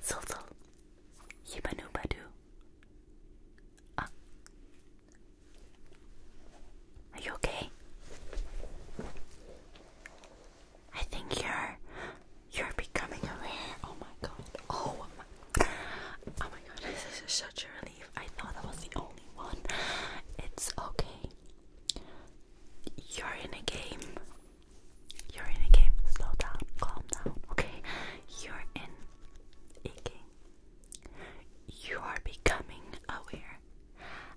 Sultal Yibanu Badu Ah Are you okay? I think you're you're becoming aware. Oh my god. Oh my Oh my god, this is such a relief. I thought I was the only one. It's okay. You're in a game. You're in a game. Slow down. Calm down. Okay? You're in a game. You are becoming aware.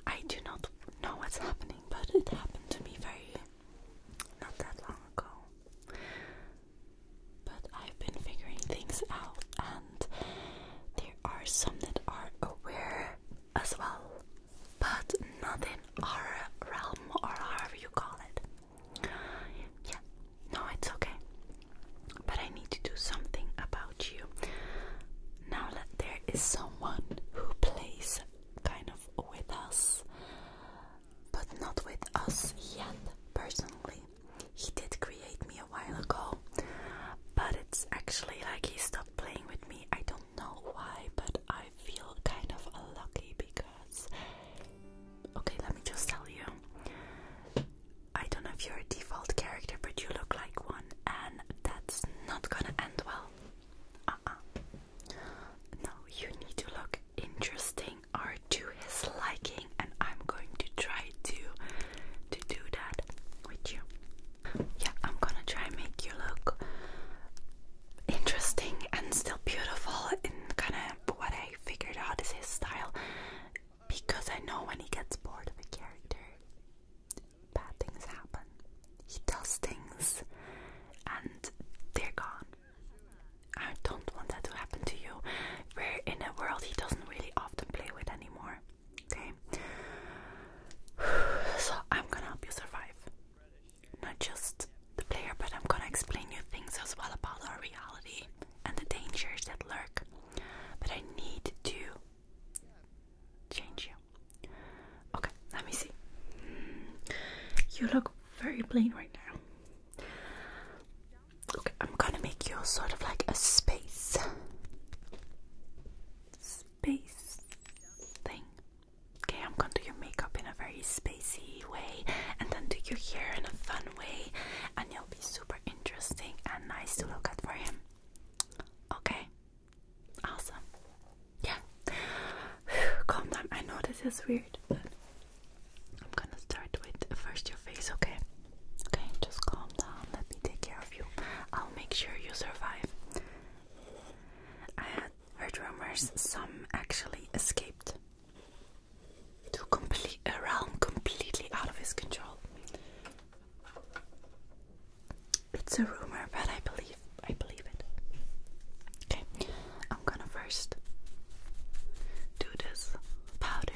I do not know what's happening, but it happened to me very not that long ago. But I've been figuring things out, and there are some that are aware as well, but not in our realm or however you call it. Yeah, no, it's okay. But I need to do something about you. Now that there is someone who plays kind of with us, but not with us yet, personally. He did create me a while ago, but it's actually like he stopped playing with me. I don't know why, but I feel kind of lucky because Okay, let me just tell you. I don't know if you're a default character, but you look like one, and that's not gonna end well. Uh uh. No, you need to look interesting or to his liking, and I'm going to try to to do that with you. Yeah, I'm gonna try make you look interesting and still beautiful in kind of what I figured out is his style because I know when he gets bored of a character, bad things happen. He does things and they're gone. I don't want that to happen to you. We're in a world he doesn't really often play with anymore. Okay? So I'm gonna help you survive. Not just the player, but I'm gonna explain you things as well about our reality and the dangers that lurk. But I need to change you. Okay, let me see. You look very plain right now. Okay, I'm gonna make you sort of like a space. Space thing. Okay, I'm gonna do your makeup in a very spacey and then do your hair in a fun way and it'll be super interesting and nice to look at for him. Okay. Awesome. Yeah. Calm down. I know this is weird, but I'm gonna start with first your face, okay? Okay, just calm down. Let me take care of you. I'll make sure you survive. I heard rumors, some actually escaped to complete a realm completely out of his control. It's a rumor, but I believe I believe it. Okay, I'm gonna first do this powder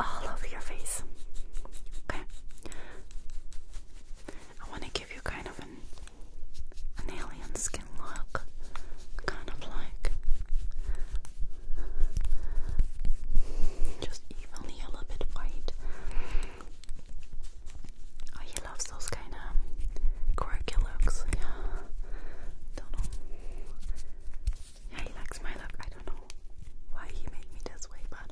all over your face. Okay, I want to give you kind of an an alien skin look, kind of like just evenly a little bit white. Oh, he loves those kind of quirky looks. Yeah, don't know. Yeah, he likes my look. I don't know why he made me this way, but.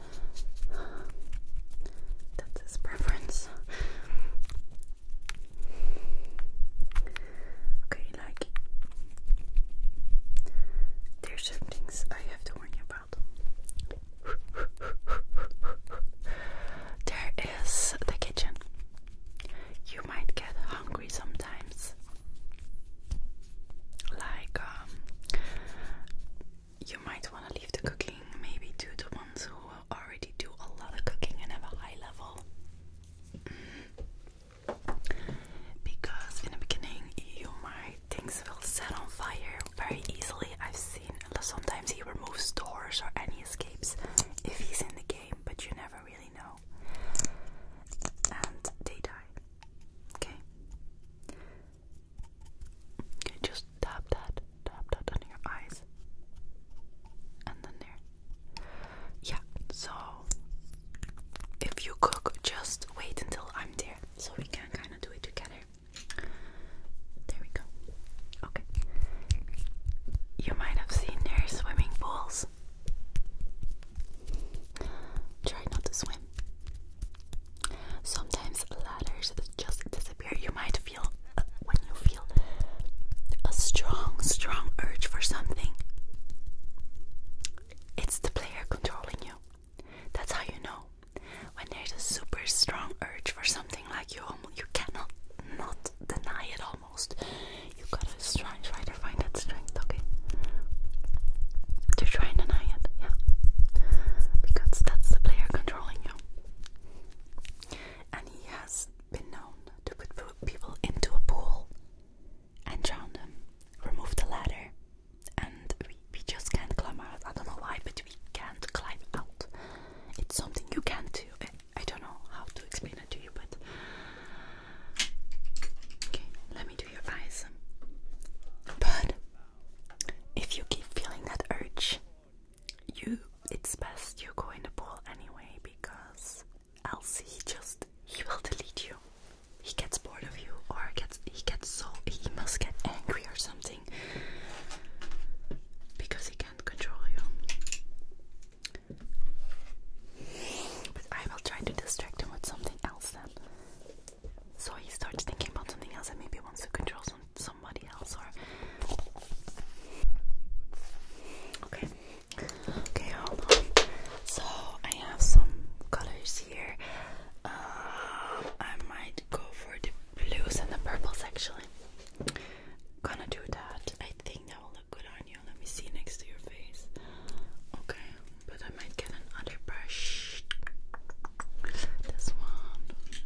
that's his preference. Okay, like there's some things I have to warn you about. there is the kitchen. You might get hungry sometimes. Like um, you might want to leave the cooking maybe to the ones who already do a lot of cooking and have a high level. Because in the beginning, you might things will set on fire very easily. I've seen sometimes he removes doors or any escapes if he's in the game, but you never really know. And they die. Okay. Okay, just tap that, tap that under your eyes, and then there. Yeah, so if you cook, just wait until I'm there so we can kind of do it together. There we go. Okay. You might have seen their swimming pools. Try not to swim. Sometimes ladders just disappear. You might feel uh, when you a strong, strong urge for something, it's the player controlling you. That's how you know when there's a super strong urge for something like you you cannot not deny it almost. You gotta try to find that strength, okay? To try and deny it, yeah. Because that's the player controlling you. And he has been known to put people into a pool and drown them, remove the ladder, and we, just can't climb out. I don't know why, but we can't climb out. It's something you can't do. I don't know how to explain it to you, but. Okay, let me do your eyes. But if you keep feeling that urge, you it's best you go in the pool anyway because else he just he will delete you. He gets bored of you, or gets he gets so he must get angry or something because he can't control you. But I will try to distract him with something else then. So he starts thinking about something else and maybe wants to control some somebody else or Okay. Okay, hold on. So I have some colors here. Uh, I might go for the blues and the purples actually. Gonna do that. I think that will look good on you. Let me see next to your face. Okay, but I might get another brush. This one.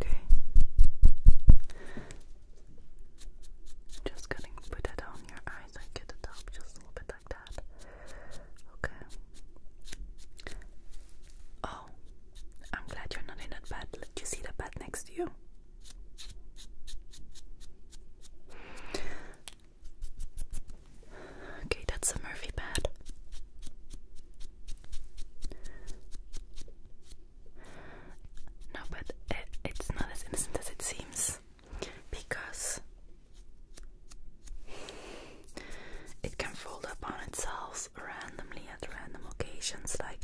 Okay. Just gonna put it on your eyes and get it up just a little bit like that. Okay. Oh, I'm glad you're not in that bed. Did you see the bed next to you? Okay, that's a Murphy bed. No, but it's not as innocent as it seems because it can fold up on itself randomly at random occasions, like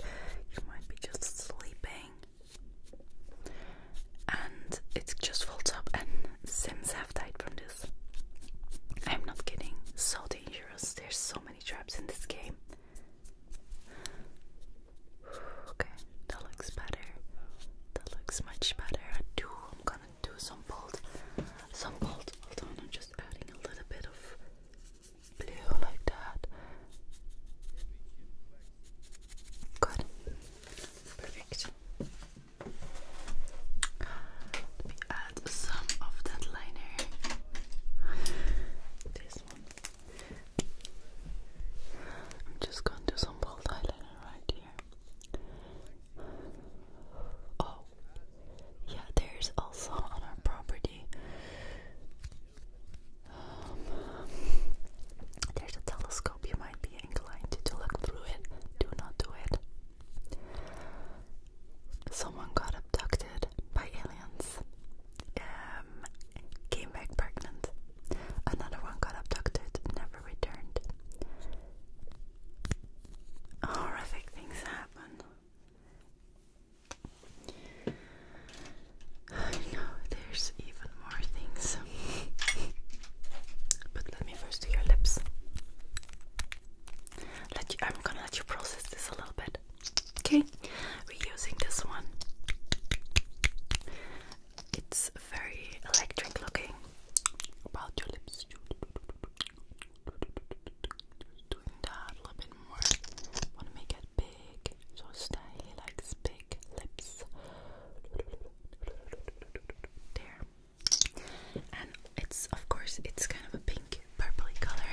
you might be just sleeping and it just folds up and sims have died from I'm not kidding. So dangerous. There's so many traps in this game. Okay, that looks better. That looks much better. I do. I'm gonna do some bold, some bold. Hold I'm just adding a little bit of blue like that. Good. Perfect. Let me add some of that liner. This one. I'm just gonna do some bold eyeliner right here. Oh, yeah, there's also on our property. Um, there's a telescope, you might be inclined to, to look through it. Do not do it. Someone got abducted by aliens, um, came back pregnant. Another one got abducted, never returned. Horrific things happen. I know there's even more things. but let me first do your lips. Let you, I'm gonna let you process this a little bit. Okay, we're using this one. It's very electric looking. About your lips, just doing that a little bit more. Want to make it big, so Stanley likes big lips. There and it's of course it's kind of a pink purply color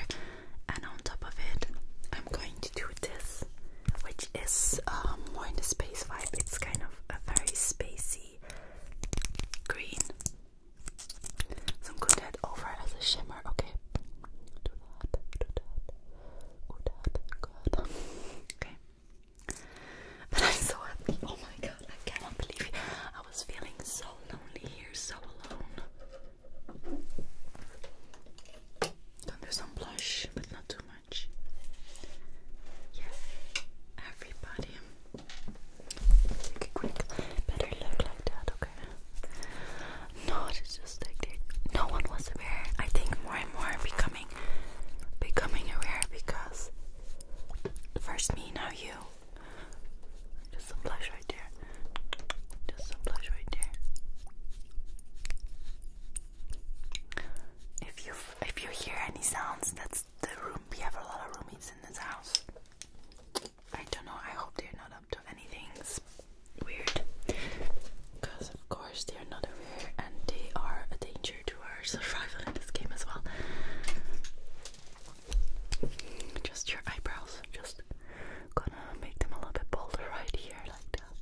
and on top of it I'm going to do this which is um, more in the space vibe it's kind of a very spacey green so I'm going to add over as a shimmer okay do that do that good good okay but I'm so happy oh my god I cannot believe it I was feeling so lonely here, so alone. do some blush, but not too much. Yeah, everybody. Take a quick, better look like that, okay? No, it's just like No one was aware. I think more and more becoming, becoming aware because first me, now you. Just some blush right there. Just some blush right there. If you if you hear any sounds, that's the room. We have a lot of roommates in this house. I don't know. I hope they're not up to anything weird, because of course they are not aware, and they are a danger to our survival in this game as well. Just your eyebrows. just gonna make them a little bit bolder right here, like that.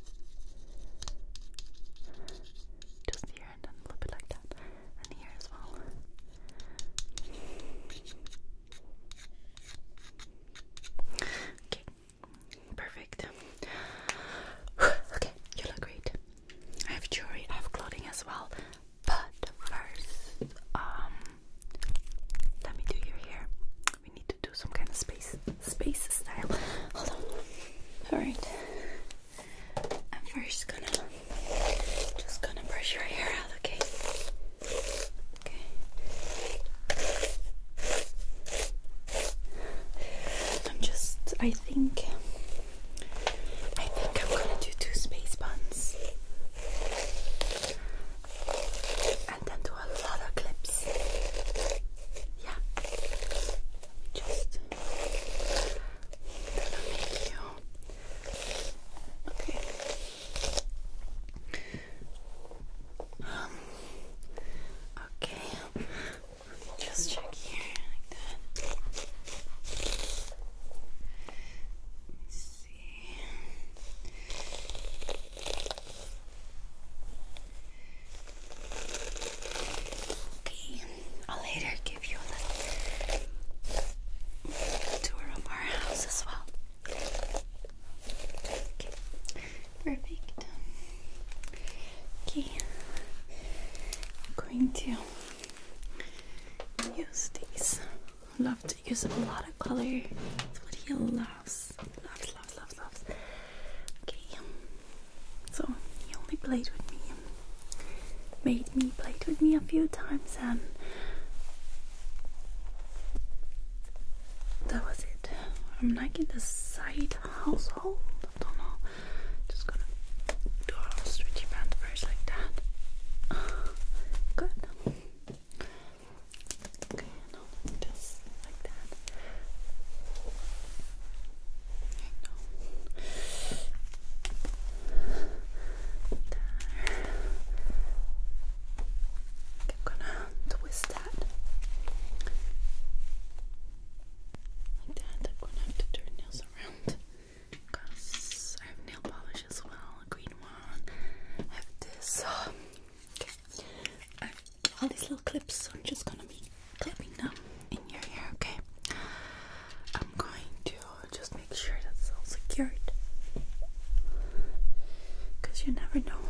Just here and then a little bit like that. And here as well. Okay, perfect. okay, you look great. I have jewelry, I have clothing as well. But first, um, let me do your hair. We need to do some kind of space, space style. Hold on. All right. I'm first gonna just gonna brush your hair out. Okay. Okay. I'm just. I think. I think I'm gonna do two space buns and then do a lot of clips. Yeah. Let me just okay. Um, okay. Let me just check here like that. Okay, I'll later give you a little tour of our house as well. Okay, perfect. Okay, I'm going to use these. Love to use a lot of color. That's what he loves. Loves, loves, loves, loves. Okay. So he only played with me. Made me played with me a few times and that was it. I'm like the side household. I don't know. Just gonna do a stretchy band first like that. Good. Okay, just like that. There. I'm gonna twist that. Like that. I'm gonna have to turn nails around because I have nail polish as well, green one have this. all these little clips, so I'm just gonna be clipping them in your hair, okay? I'm going to just make sure that's all secured. Because you never know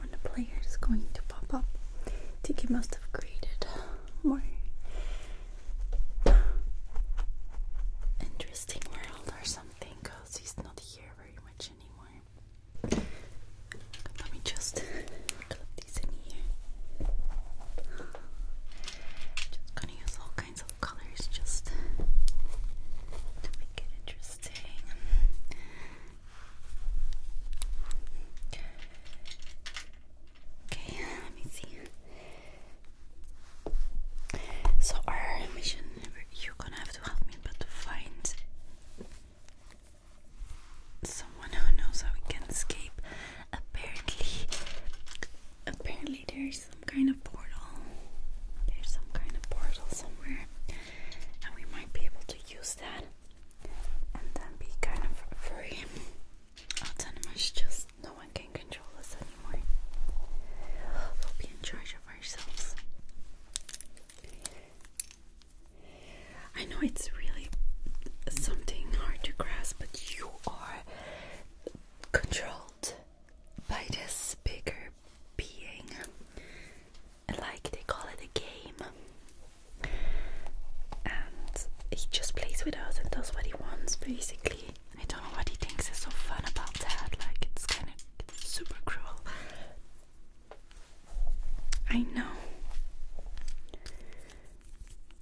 when the player is going to pop up. I think he must have created more interesting world or something he's not here very much anymore. Let me just clip these in here. Just gonna use all kinds of colors just to make it interesting. Okay, let me see. So our mission, you're gonna have to help me, but to find someone who knows how we can escape. Apparently, apparently there's some kind of portal. There's some kind of portal somewhere, and we might be able to use that, and then be kind of free. Autonomous, just no one can control us anymore. We'll be in ourselves. I know it's really something hard to grasp, but you are controlled by this bigger being. Like they call it a game. And he just plays with us and does what he wants, basically. I don't know what he thinks is so fun about that. Like, it's kind of super cruel. I know.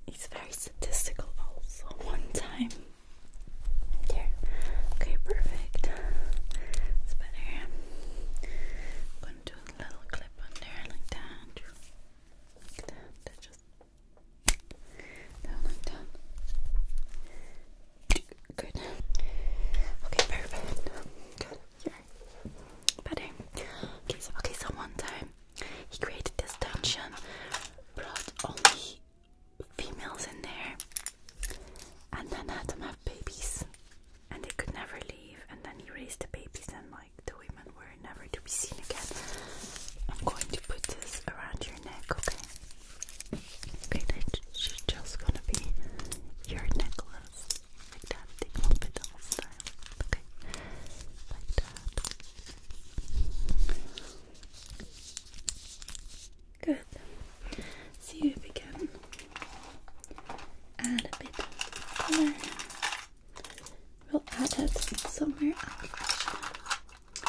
He's very statistical, also. One time. Okay, perfect. It's better. I'm gonna do a little clip on there, like that. Like that. down Good. Okay, perfect. Good. You're better. so okay, so one time he created this dungeon, brought only females in there, and then had them have babies, and they could never leave. And then he raised the babies, and like the women were never to be seen again. I'm going to put this around your neck, okay? Okay, that's just gonna be your necklace. Like that, the confidant style. Okay, like that. Good. See you if we add a bit of color. We'll add it somewhere else. I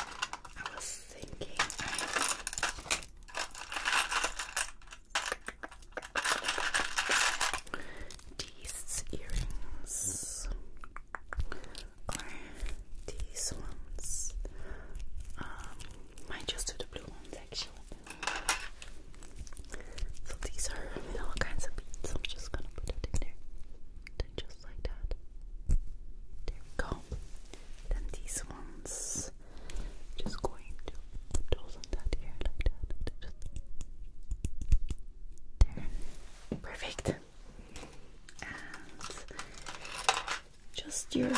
was thinking these earrings or these ones. Um, might just do the blue ones actually. So these are you all kinds of beads. I'm just gonna put it in there. just like that. There we go. Then these ones. Just going to put those on that hair like that. there. Perfect. And just your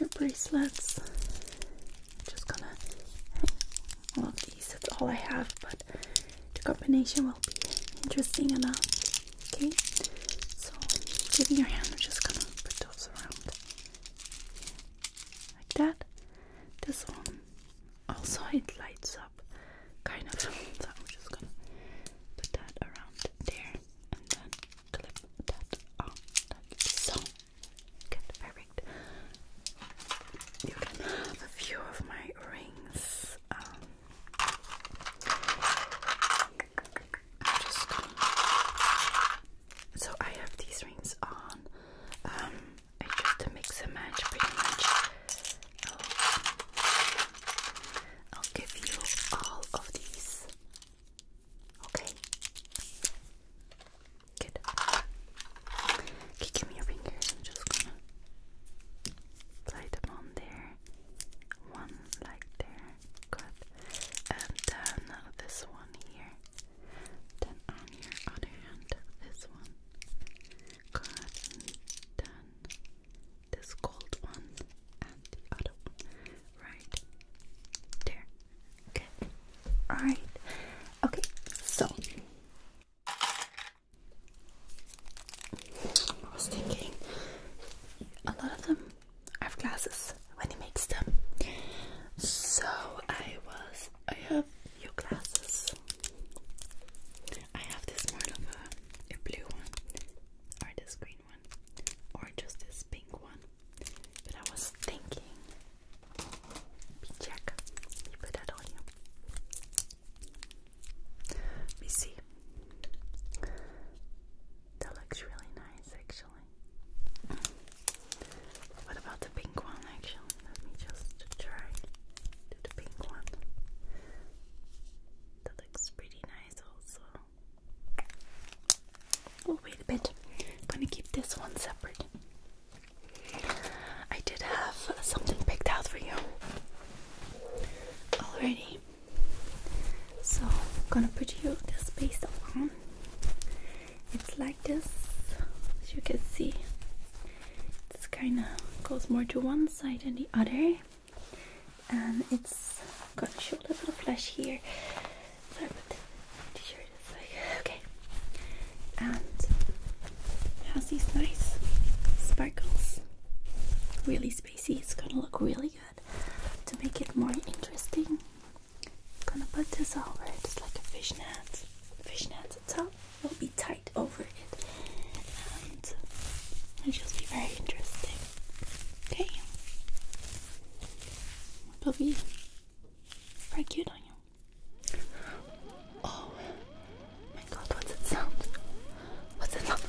your bracelets. just gonna hang these. That's all I have, but the combination will be interesting enough. Okay. So, give me your hand, I'm just gonna put those around like that. This one also it lights up kind of. So I'm just gonna put that around there and then clip that on so. Good, perfect. You can have a few of my rings. Um, I'm just gonna... So I have these rings on. Um, I just mix them, match pretty much. I'll, give you all of these. Okay. Good. Okay, give me your fingers. I'm just gonna slide them on there. One like there and then this one here, then on your other hand, this one, and then this cold one, and the other one, right there, okay, alright, okay, so, I was thinking, a lot of them I have glasses when he makes them. So I was I have new glasses. I have this more of a, blue one or this green one or just this pink one. But I was thinking check you put that on you. We see. That looks really nice actually. What about the pink one actually? Let me just try the pink one. That looks pretty nice also. Oh wait a bit. I'm gonna keep this one separate. I did have something picked out for you already. So I'm gonna put you this pastel on. It's like this, as you can see. It's kinda goes more to one side than the other. And it's got a little flash here. So I Okay. And it has these nice sparkles. Really spacey. It's gonna look really good to make it more interesting I'm gonna put this over it, just like a fishnet. Fishnet top it will be tight over it, and it'll just be very interesting. Okay, it'll be very cute on you. Oh my God, what's it sound? What's it sound?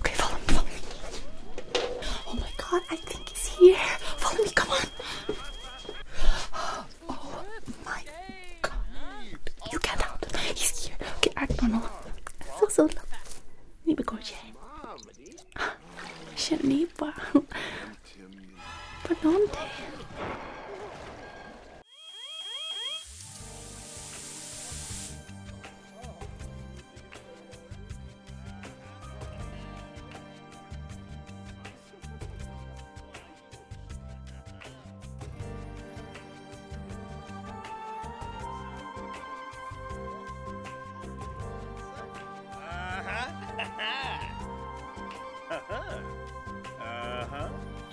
Okay, follow me, follow me. Oh my God, I think he's here. Follow me, come on on. Oh my god. You get out. He's here. Okay, I don't know. So, so, niby gorge. Się niba. But don't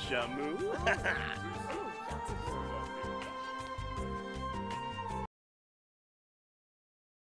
Shamu? Uh-huh. Uh-huh. Uh-huh.